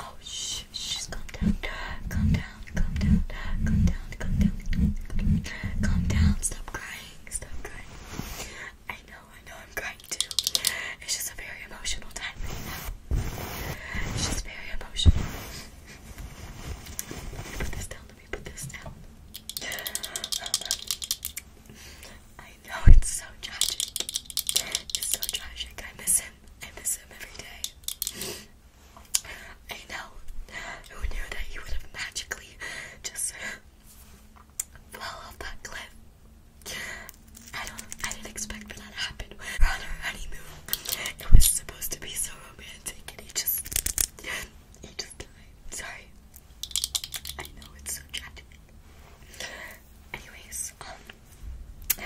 oh, shh, shh, calm down, calm down, calm down, calm down, calm down, calm down, stop crying, stop crying. I know, I know, I'm crying too. It's just a very emotional time right now. It's just very emotional. Put this down, let me put this down. I know it's so tragic. It's so tragic. I miss him. I miss him every day. I know. Who knew that he would have magically just fall off that cliff? I don't I didn't expect that to happen. on our honeymoon. It was supposed to be so romantic and he just he just died. Sorry. I know it's so tragic. Anyways, um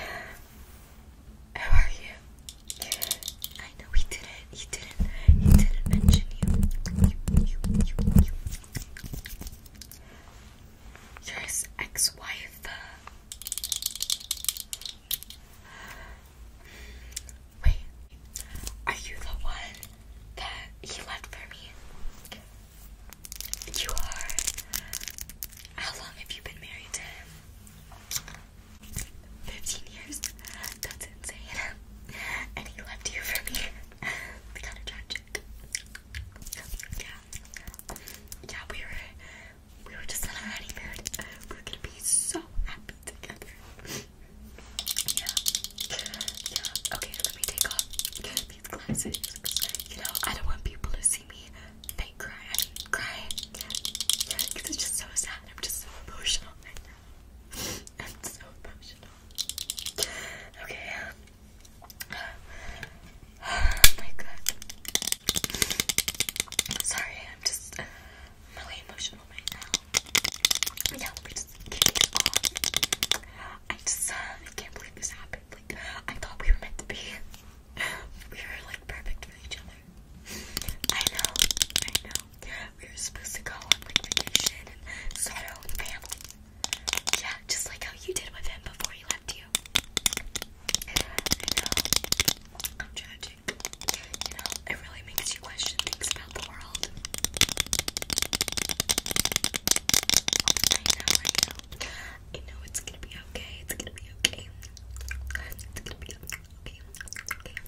how are you? I know he didn't he didn't he didn't mention you. You you you you you're his ex-wife. Uh, Wait, are you the one that he left for me? You are. How long have you been married to him? 15 years? That's insane. And he left you for me. kind of tragic. Yeah. Yeah, we were we were just on our honeymoon. We are gonna be so happy together. Yeah. Yeah. Okay, let me take off these glasses. You know, I don't want people to see me fake cry. I mean, cry. Because it's just so sad. I'm just so emotional right now. I'm so emotional. Okay. oh my god. Sorry, I'm just uh, I'm really emotional right now. Yeah, let just uh, I can't believe this happened. Like I thought we were meant to be. we were like perfect for each other. I know, I know. We were supposed to go on vacation and start our own family. Yeah, just like how you did with him before he left you. I know, um, I'm tragic. You know, it really makes you question things about the world. I know, I know. I know it's gonna be okay, it's gonna be okay. It's gonna be okay, okay, okay.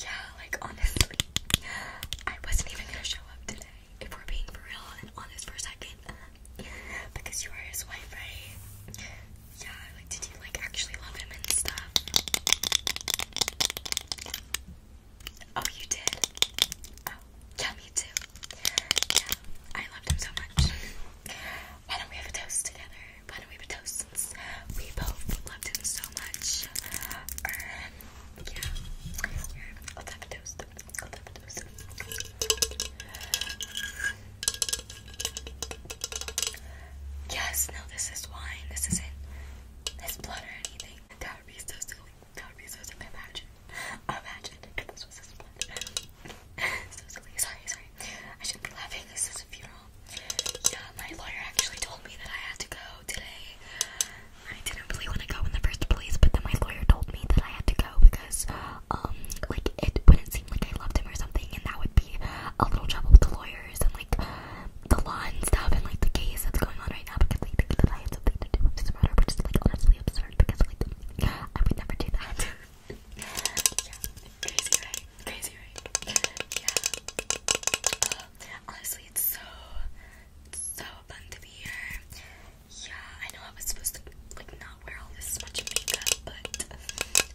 Yeah, like honestly, I wasn't even gonna show up today. If we're being for real and honest for a second. because you are his wife, right? Yeah, like did you like actually love him and stuff? Oh, you did? Oh, yeah, me too. Yeah, I loved him so much. Why don't we have a toast together? Why don't we have a toast since we both loved him so much? yeah, let's have a toast. Yes, no, this is wine. This isn't this blood or anything. That would be so silly. That would be so silly. Imagine. Imagine this was his blood. so silly. Sorry, sorry. I should be laughing. This is a funeral. Yeah, my lawyer actually told me that I had to go today. I didn't really want to go in the first place, but then my lawyer told me that I had to go because, um, like, it wouldn't seem like I loved him or something, and that would be a little trouble with the lawyers and, like, the law and stuff, and, like, the case that's going on right now because they think that I had something to do with this murder, which is, like, honestly absurd because, like, I would never do that. yeah, crazy, right? Crazy, right? Yeah. Uh, honestly, it's so, so fun to be here yeah, I know I was supposed to like not wear all this much makeup, but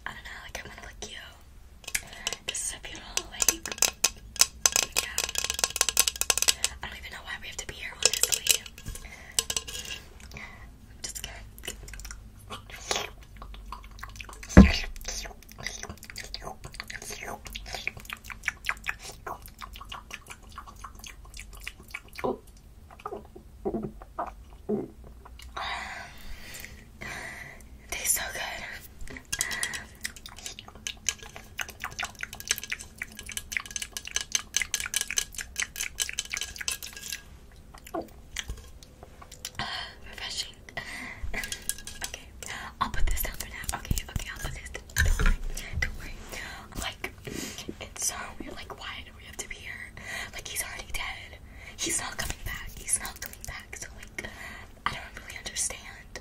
I don't know, like I wanna look cute. This is a beautiful like yeah. I don't even know why we have to be here honestly. Tastes so good. refreshing. okay, I'll put this down for now. Okay, okay, I'll put this down. It's fine. Don't worry. Like, it's so weird. Like, why do we have to be here? Like, he's already dead. He's not coming back. He's not coming back. So, like, I don't really understand.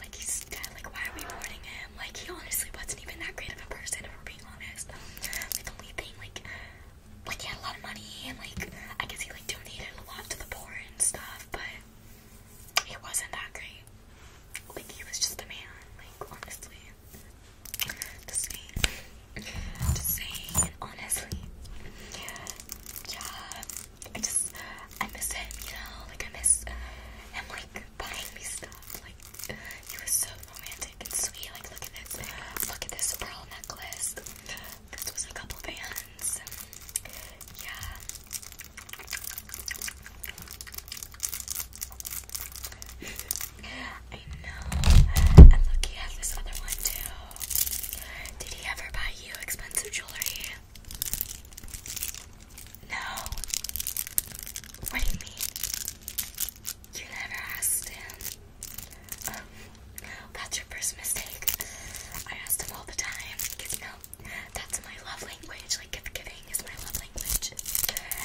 Like, he's dead. Like, why are we mourning him? Like, he honestly wasn't even that great of a person, if we're being honest. Like, the only thing, like, like, he had a lot of money, and, like, I guess he, like, donated a lot to the poor and stuff, but it wasn't that great. Like he was just a man, like honestly. Just saying. Just saying, honestly. Yeah. I just I miss him, you know, like I miss him like buying me stuff. Like he was so romantic and sweet. Like look at this. Look at this pearl necklace. This was a couple bands. Yeah. I know. And look, he has this other one too. Did he ever buy you expensive jewelry? No. What do you mean? You never asked him. Um, your first I asked him all the time that's my love language. Like gift giving is my love language.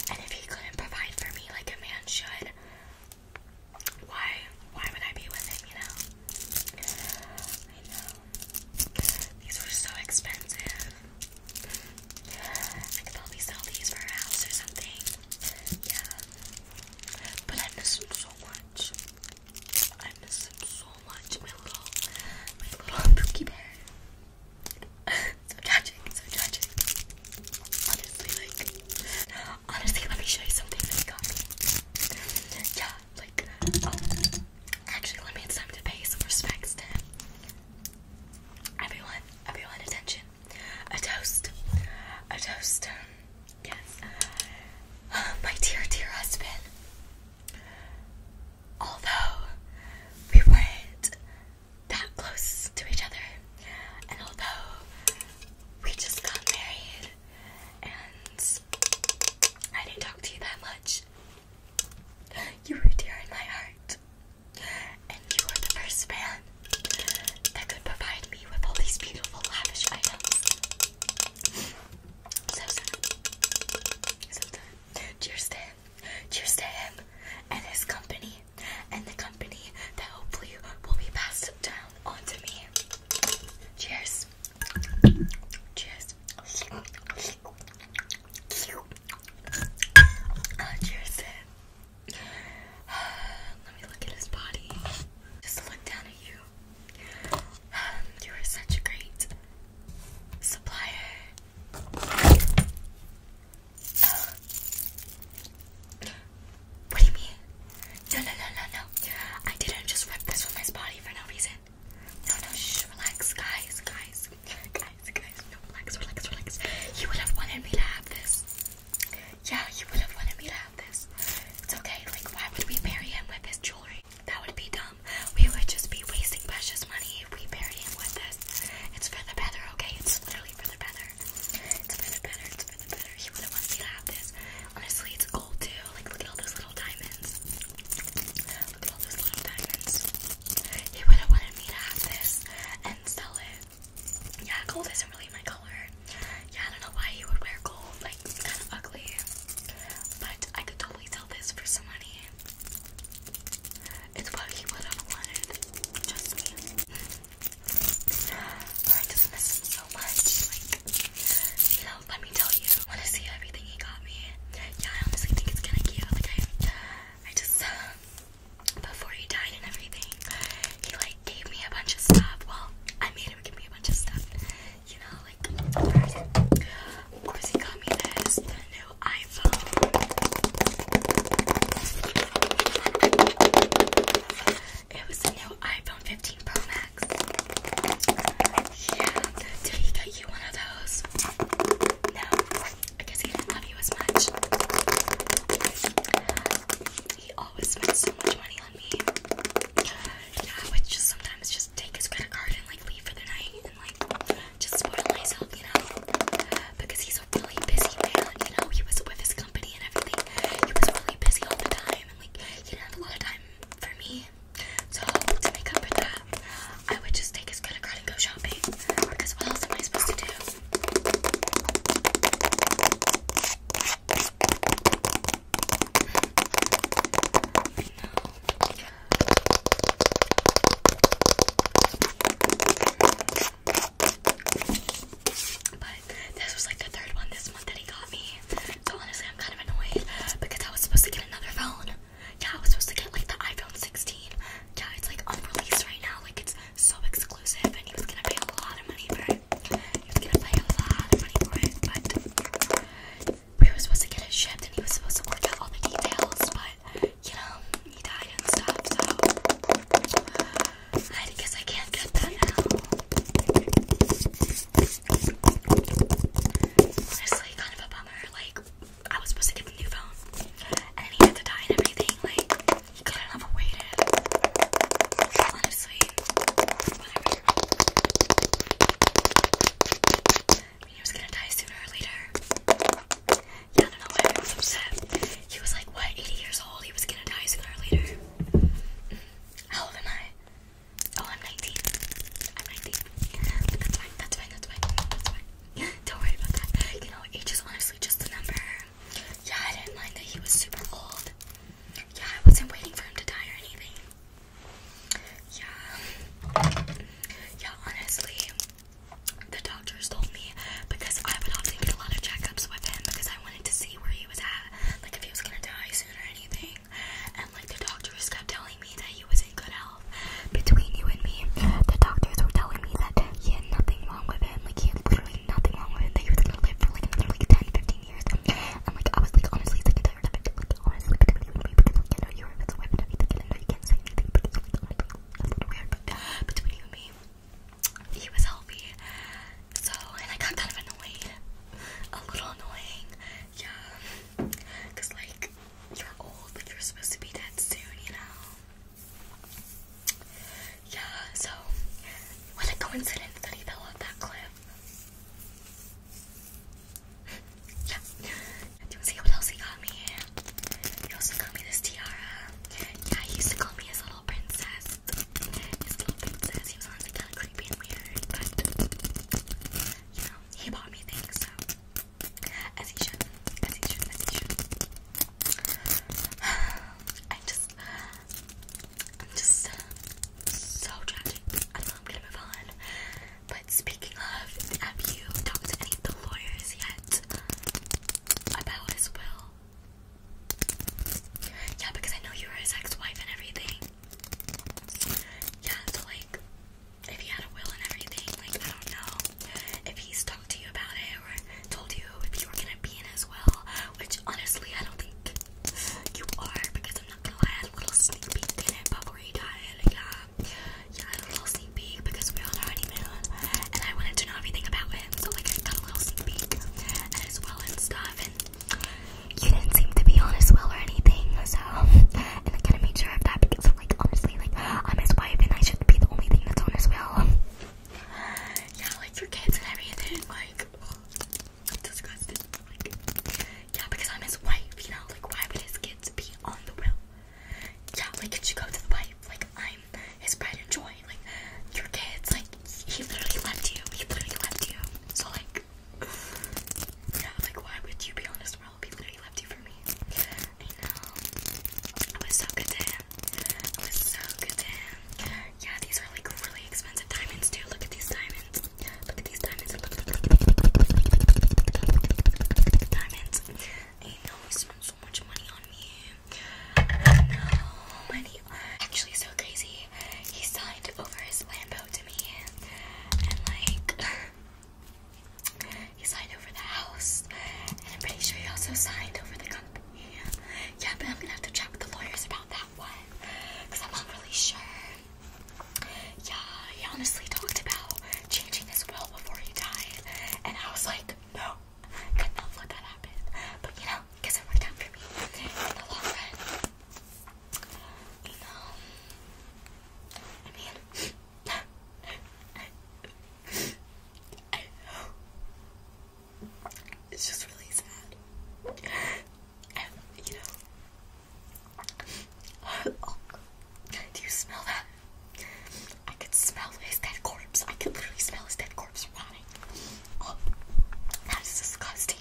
And if he couldn't provide for me like a man should, why why would I be with him, you know? I know. These were so expensive. I could probably sell these for a house or something. Yeah. But I miss him so much. I miss him so much. My little, my little pookie bear. so tragic, so tragic. Honestly, like, honestly, let me show you something that got Yeah, like, um, actually, let me. have time to pay some respect to everyone. Everyone, attention. A toast. A toast. Um, yes. My dear, dear husband. Although we weren't that close to each other, and although we just got married and I didn't talk to you that much, you were dear in my heart. And you were the first man that could provide me with all these beautiful, lavish items. So sad. Cheers to him. Cheers to him and his company and the company that hopefully will be passed down onto me. Cheers. Cheers. Uh, cheers to him. Let me look at his body. Just look down at you. Um, you are such a great supplier. What do you mean? No, no, no, no, no. I didn't just rip this from his body for no reason. No, no, relax, guys, guys, guys, guys. relax, relax, relax. You would have wanted me to have this. Yeah, you would have wanted me to have this. It's okay. Like, why would we marry him with his jewelry? buying. That would be dumb. We would just be wasting precious money if we bury him with this. It's for the better, okay? It's literally for the better. It's for the better, it's for the better. He wouldn't want me to have this. Honestly, it's gold too. Like, look at all those little diamonds. Look at all those little diamonds. He wouldn't wanted me to have this and sell it. Yeah, gold isn't really my color. Yeah, I don't know why he would wear gold. Like, it's kind of ugly. But I could totally this for some money. It's what he would have wanted. Trust me. I just miss him so much. you know, let me tell you. want to see everything he got me. Yeah, I honestly think it's kind of cute. Like, I, just, before he died and everything, he, like, gave me a bunch of stuff. Well, I made him give me a bunch of stuff you know, like, Of course, he got me this, new iPhone. It was a new iPhone 15 Pro Max. Yeah, did he get you one of those? No, I he didn't love you as much. He always spends so much money on me yeah, I would just sometimes just take his credit card and like leave for the night and like just spoil myself, you know, because he's a really busy man, you know, he was with his company and everything, he was really busy all the time and like he didn't have a lot of time for me, so to make up for that, I would just take his credit card and go shopping, because what else am I supposed to do? But this was like the third one this month that he got me. So honestly, I'm kind of annoyed because I was supposed to get another phone. Yeah, I was supposed to get like the iPhone 16. Yeah, it's like unreleased right now. Like it's so exclusive, and he was gonna pay a lot of money for it. He was gonna pay a lot of money for it, but we were supposed to get it shipped and he was supposed to work out all the details, but you know, he died and stuff, so I guess I can't get that now. Honestly, kind of a bummer. Like, I was supposed to get the new phone, and he had to die and everything. Like, he couldn't have waited. Honestly, I mean, he was gonna die sooner or later. Yeah, don't know why I was upset. He was like, what, 80 years old? He was gonna die sooner or later. How old am I? Oh, I'm 19. I'm 19. that's fine, that's fine, that's fine, that's fine. Don't worry about that. You know, age is honestly just a number. Yeah, I didn't mind that he was super old. Yeah, I wasn't waiting for him to die or anything. Yeah. Yeah, honestly, the doctors told me because I would often get a lot of checkups with him because I wanted to see where he was at, like if he was gonna die soon or anything. And like the doctors kept telling me that he was in good health. Between you and me, the doctors were telling me that he had nothing wrong with him. Like he had literally nothing wrong with him, that he was gonna live for like another like 10, 15 years. I'm like, I was like, honestly sick Like, you're know you can't say anything between you and me, he was healthy. So, and I got kind of annoyed. A little annoying. Yeah. Because, like, you're old, like, you're supposed to be dead soon, you know? Yeah, so, what a coincidence that he fell off that cliff yeah. Do you see what else he got me? He also got me this tiara. Yeah, he used to call me his little princess. His little princess. He was honestly kind of creepy and weird, but you know, he bought me things, so as he should, as he should, as he should. I just, I'm just so tragic. I know I'm gonna move on. But speaking of, have you talked to any of the lawyers yet about his will? Yeah, because I know you were his ex-wife and everything. Yeah, so like, if he had a will and everything, like I don't know if he's talked to you about it or told you if you were gonna be in his will. Which honestly, I don't think you are, because I'm not gonna lie, I had a little sneak peek in it before you died. Yeah, yeah, a little sneak peek because we were on our honeymoon, and I wanted to know everything about him, so like I got a little sneak peek and as well and stuff, and you didn't seem to be on as well or anything, so and I kind of made sure of that because like honestly, like I'm his wife and I should be the only thing that's on as well. Yeah, like for everything, like I'm yeah, because I'm his wife, you know? Like, why would his kids be on the will? Yeah, like, it you go to the wife. Like, I'm his pride and joy. Like, your kids, like, he literally left you. He literally left you. So, like, yeah, like, why would you be on this world? He literally left you for me. I know. It was so good to him. It was so good to him. Yeah, these are like really expensive diamonds too. Look at these diamonds. Look at these diamonds. Look, at the diamonds. I know I spent so much money on me. I know Actually, so crazy. He signed over his Lambo to me, and like he signed over the house, and I'm pretty sure he also signed over the company. Yeah, but I'm gonna have to chat with the lawyers about that that because I'm not really sure. Yeah, he honestly talked about changing his will before he died, and I was like, no, I could not let that happen. But you know, because it worked out for me in the long run. You know, I mean, It's just really sad. And, you know, oh, do you smell that? I could smell his dead corpse. I could literally smell his dead corpse rotting. Oh, that is disgusting.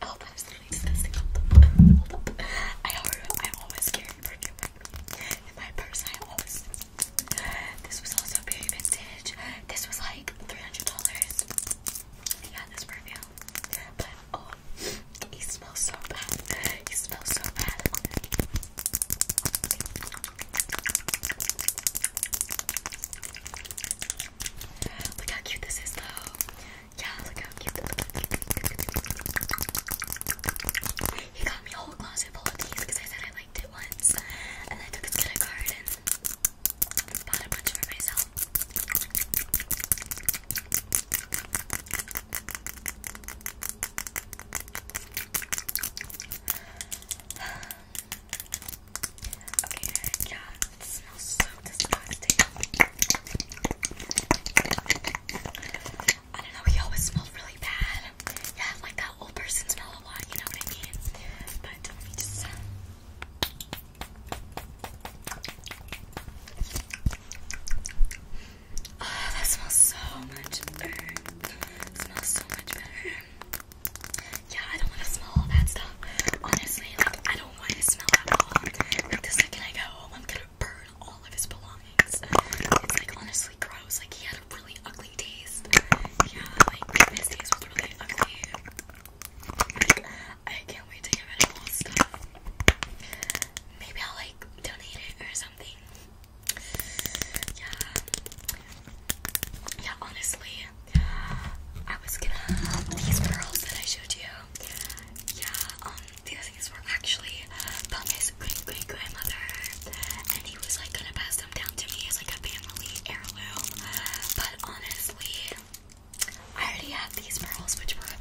I always carry perfume in my purse. I always. This was also very vintage. This was like. $300. Yeah, this perfume. But oh, he smells so bad. He smells so bad. Look how cute this is, though. Yeah, look how cute. He got me a whole closet full of these because I said I liked it once, and I took a credit card and bought a bunch for myself. yeah, it smells so disgusting. I don't know, he always smelled really bad. Yeah, like that old person smell a lot, you know what I mean? But let me just. Oh, that smells so much better. It smells so much better. Yeah, I don't want to smell all that stuff. Honestly, like, I don't want to smell at all. Like, the second I go home, I'm gonna burn all of his belongings. It's like honestly gross. Like, he has really ugly taste. Yeah, like his taste was really ugly. I can't wait to get rid all stuff. Maybe I'll like donate it or something. Yeah. Yeah, honestly, I was gonna these pearls that I showed you. Yeah, um, these things were actually from his great great grandmother, he was like gonna pass them down to me as like a family heirloom. But honestly, I already have these pearls, which were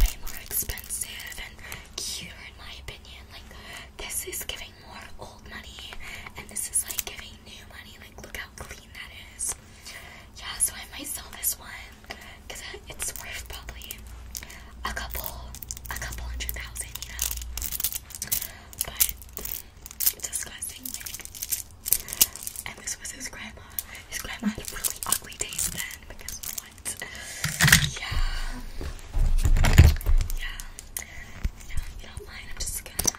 way more expensive and cuter in my opinion. Like this is giving more old money, and this is like giving new money. Like look how clean that is. Yeah, so I might sell this one because it's worth probably a couple, a couple hundred thousand, you know. But it's disgusting And this was his grandma. His grandma had a really ugly taste then because what? Yeah. Yeah. Yeah, you don't mind, I'm just gonna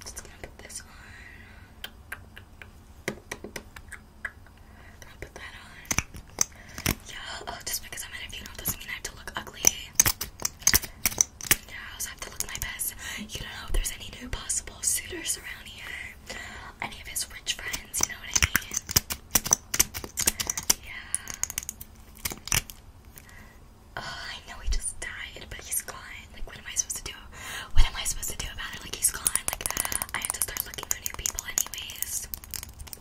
just gonna put this on. Gonna put that on. Yeah, oh, just because I'm at a doesn't mean I have to look ugly. I also have to look my best. You don't know if there's any new possible suitors around here. Any of his rich friends, you know what I mean? Yeah. Oh, I know he just died, but he's gone. Like, what am I supposed to do? What am I supposed to do about it? Like, he's gone. Like, I have to start looking for new people anyways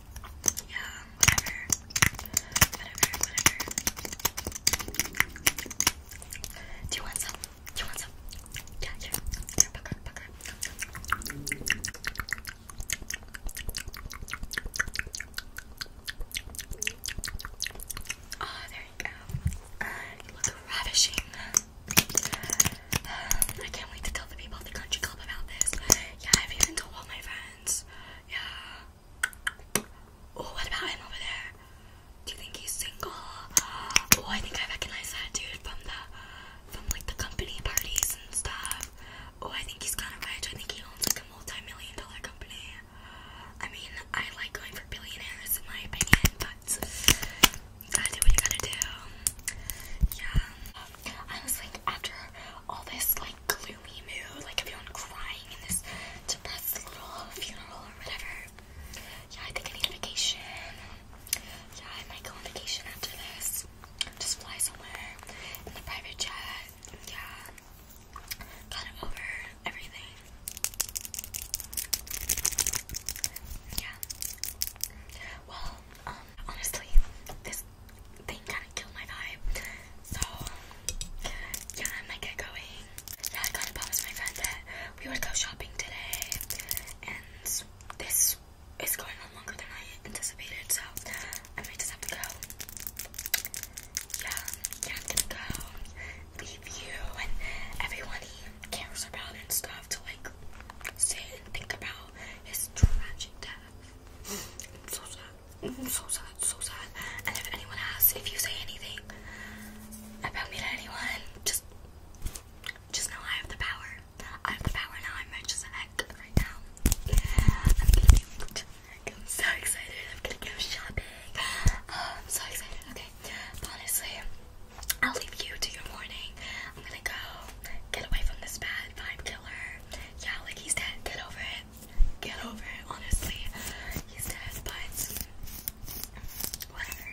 yeah, whatever, whatever, whatever. Do you want some? Do you want some? Yeah, yeah, yeah, pucker, pucker. Oh, there you go. You look ravishing. I can't wait to tell the people at the country club about this. Yeah, I've even told all my friends. Yeah, Oh, what about him over there? Do you think he's single? Oh, I think I recognize that dude from the from like the company parties and stuff. Oh, I think he's kind of rich. I think he owns like a multi-million dollar company. I mean, I like going for billionaires in my opinion, but I do what you gotta do. Yeah. I was like, after all this gloomy mood, like everyone crying in this depressed little funeral or whatever. Yeah, I think I need a vacation. Yeah, I might go on vacation after this. Just fly somewhere in the private jet. Yeah. Got it over everything. Yeah. Well, um, honestly, this thing kind of killed my vibe. So, yeah, I'm gonna get going. Yeah, I kind of promised my friend that we would go shopping today, and this is going on longer than I anticipated, so I might just have to go. Yeah, yeah, I'm gonna go leave you and everyone he cares about and stuff to like sit and think about this tragic death so sad. Mm-hmm. so sad. so sad. And if anyone asks, if you say anything about me to anyone, just just know I have the power. I have the power now. I'm rich as heck right now. I'm going I'm so excited. I'm gonna go shopping. Oh, I'm so excited. Okay. Honestly, I'll leave you to your morning. I'm gonna go get away from this bad vibe killer yeah, like he's dead. Get over it. Get over it, honestly. He's dead, but whatever.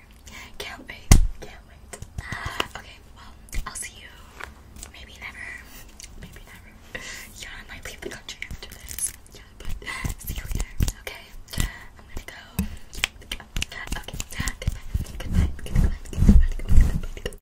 Can't wait. Can't wait. Ah, okay, well, I'll see you. Maybe never. Maybe never. Yeah, I might leave the country after this. Yeah, see you later. Okay, I'm gonna go. Okay, Goodbye. Goodbye. Goodbye. Goodbye. goodbye, goodbye, goodbye.